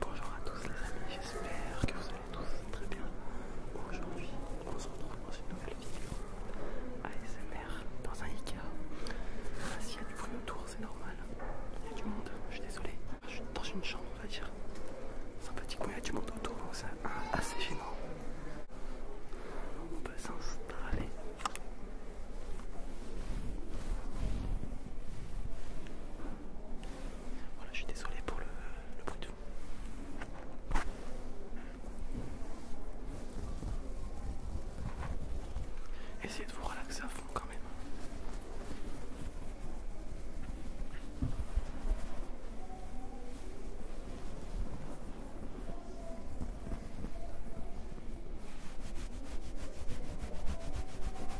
Bonjour à tous les amis, j'espère que vous allez tous très bien. Aujourd'hui, on se retrouve dans une nouvelle vidéo ASMR dans un Ikea. Ah, S'il y a du bruit autour, c'est normal. Il y a du monde, je suis désolé. Je suis dans une chambre, on va dire. petit coin, il y a du monde autour, donc c'est assez gênant. On peut s'installer. Voilà, je suis désolé pour le, bruit de fond. Essayez de vous relaxer à fond quand même.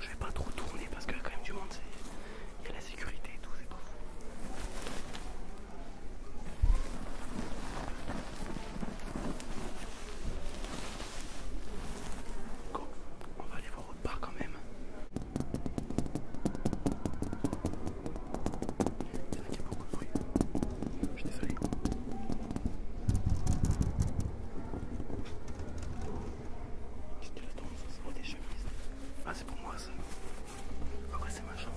Je vais pas trop tourner parce qu'il y a quand même du monde, il y a la sécurité et tout, c'est pas fou. On va aller voir autre part quand même. Il y a beaucoup de bruit. Je suis désolé. Tu ton sens des chemises. Ah, c'est pour moi ça. Après, c'est ma chambre.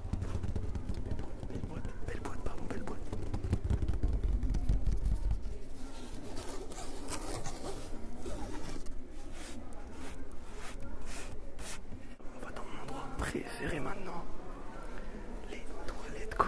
Belle boîte, belle boîte, pardon, belle boîte. On va dans mon endroit préféré maintenant. Les toilettes quoi.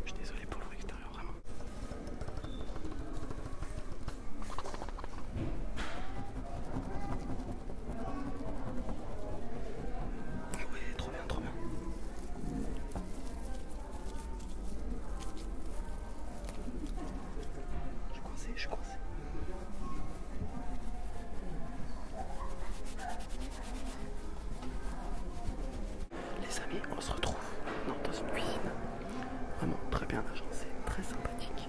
Je suis désolé pour l'extérieur, vraiment. Oui, trop bien, trop bien. Je suis coincé, je suis coincé. Les amis, on se retrouve dans une cuisine vraiment très bien agencée, très sympathique.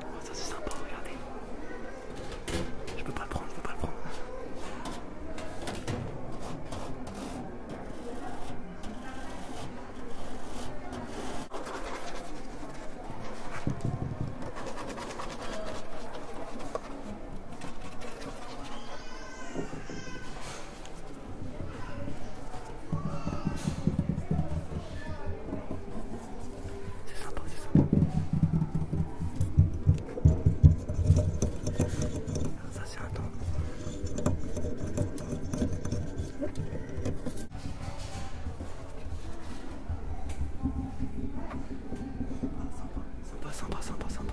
Oh, ça c'est sympa, regardez. Je peux pas le prendre, je peux pas le prendre. C'est sympa, c'est sympa. Ça c'est un temps. Sympa, sympa, sympa, sympa.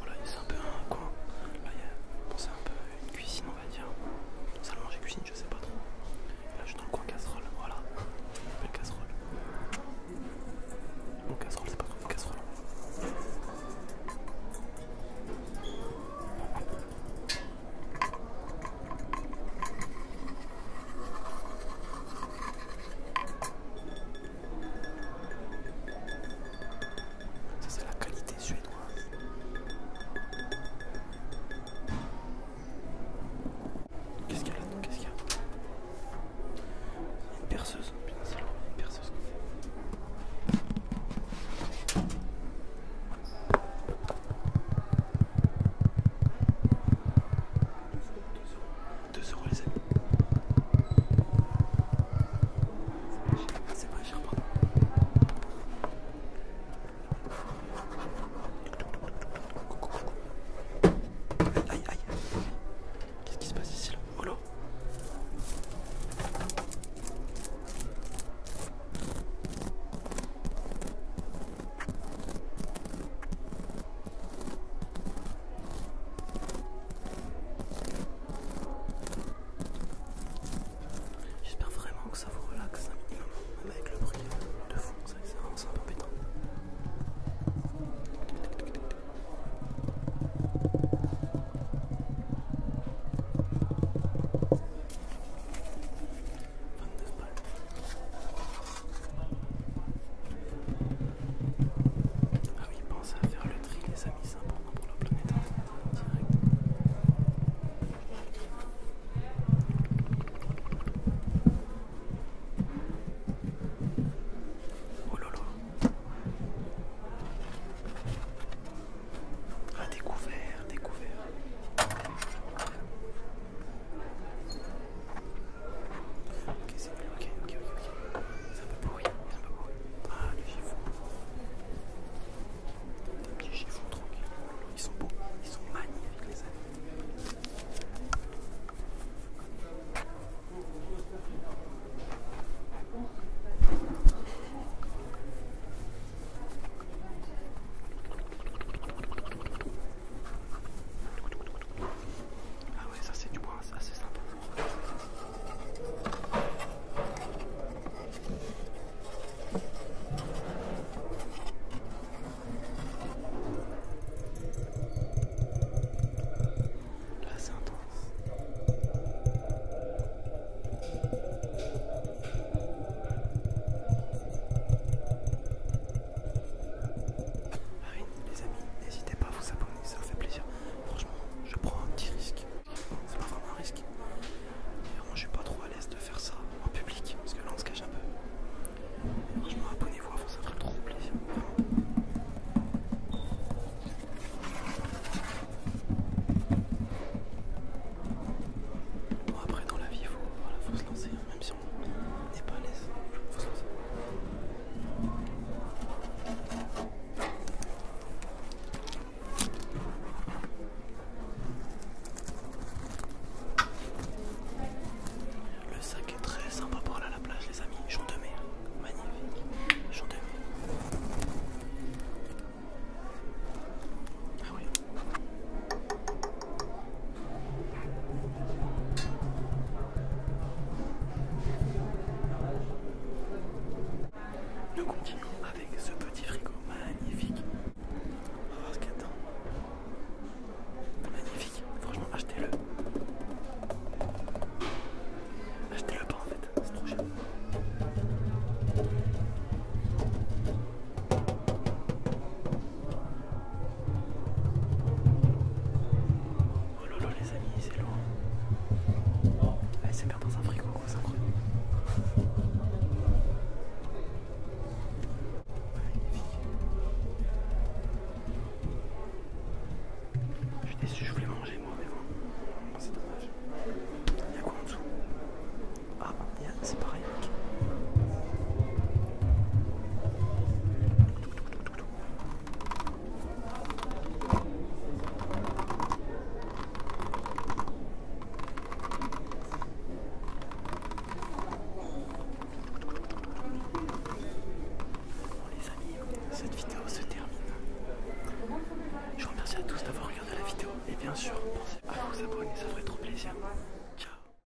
voilà, c'est un peu un coin. Là, c'est un peu une cuisine, on va dire. Salle manger cuisine, je sais pas trop. Là, je suis dans le coin casserole, voilà. Belle casserole. Bon, casserole, c'est pas trop une casserole. Hein. Ça c'est la qualité suédoise. Qu'est-ce qu'il y a là-dedans Qu'est-ce qu'il y a Une perceuse. Putain, c'est lourd, une perceuse. Deux euros les amis. C'est pas cher, pardon. Aïe, aïe. Qu'est-ce qui se passe ici là Oh là J'espère vraiment que ça vous relaxe un minimum, même avec le bruit de fond, c'est vraiment un peu embêtant. Ah ça à faire le tri les amis, c'est important pour la planète direct. Oh lolo Ah découvert, découvert Ok, c'est mieux, ok, ok, ok. C'est un peu pourri, c'est Ah, les chiffons. Les petits chiffons tranquilles. Ils sont beaux, ils sont magnifiques, les amis. Ah ouais ça c'est du bois, ça c'est sympa. La c'est intense. les amis, n'hésitez pas à vous abonner. Ça me fait plaisir. Franchement, je prends un petit risque. C'est pas vraiment un risque. vraiment, je suis pas trop à l'aise de faire ça en public parce que là on se cache un peu. franchement, abonnez-vous avant, ça ferait trop plaisir. Bon, après, dans la vie, il faut, se lancer, hein, même si pas à l'aise. Le sac est très sympa pour aller à la plage les amis, Jean de mer, magnifique, Jean de mer. Ah nous continuons avec ce petit frigo magnifique. On va voir ce qu'il y a dedans. Magnifique, franchement achetez-le. Achetez-le pas en fait, c'est trop cher. Oh lolo les amis, c'est lourd. Allez, c'est merde dans un frigo, c'est incroyable. Je suis déçu, je voulais manger moi, mais bon, c'est dommage. Il y a quoi en dessous Ah, c'est pareil, Bon les amis, cette vidéo se termine. Je vous remercie à tous d'avoir regardé la vidéo et bien sûr pensez à vous abonner, ça ferait trop plaisir. Ciao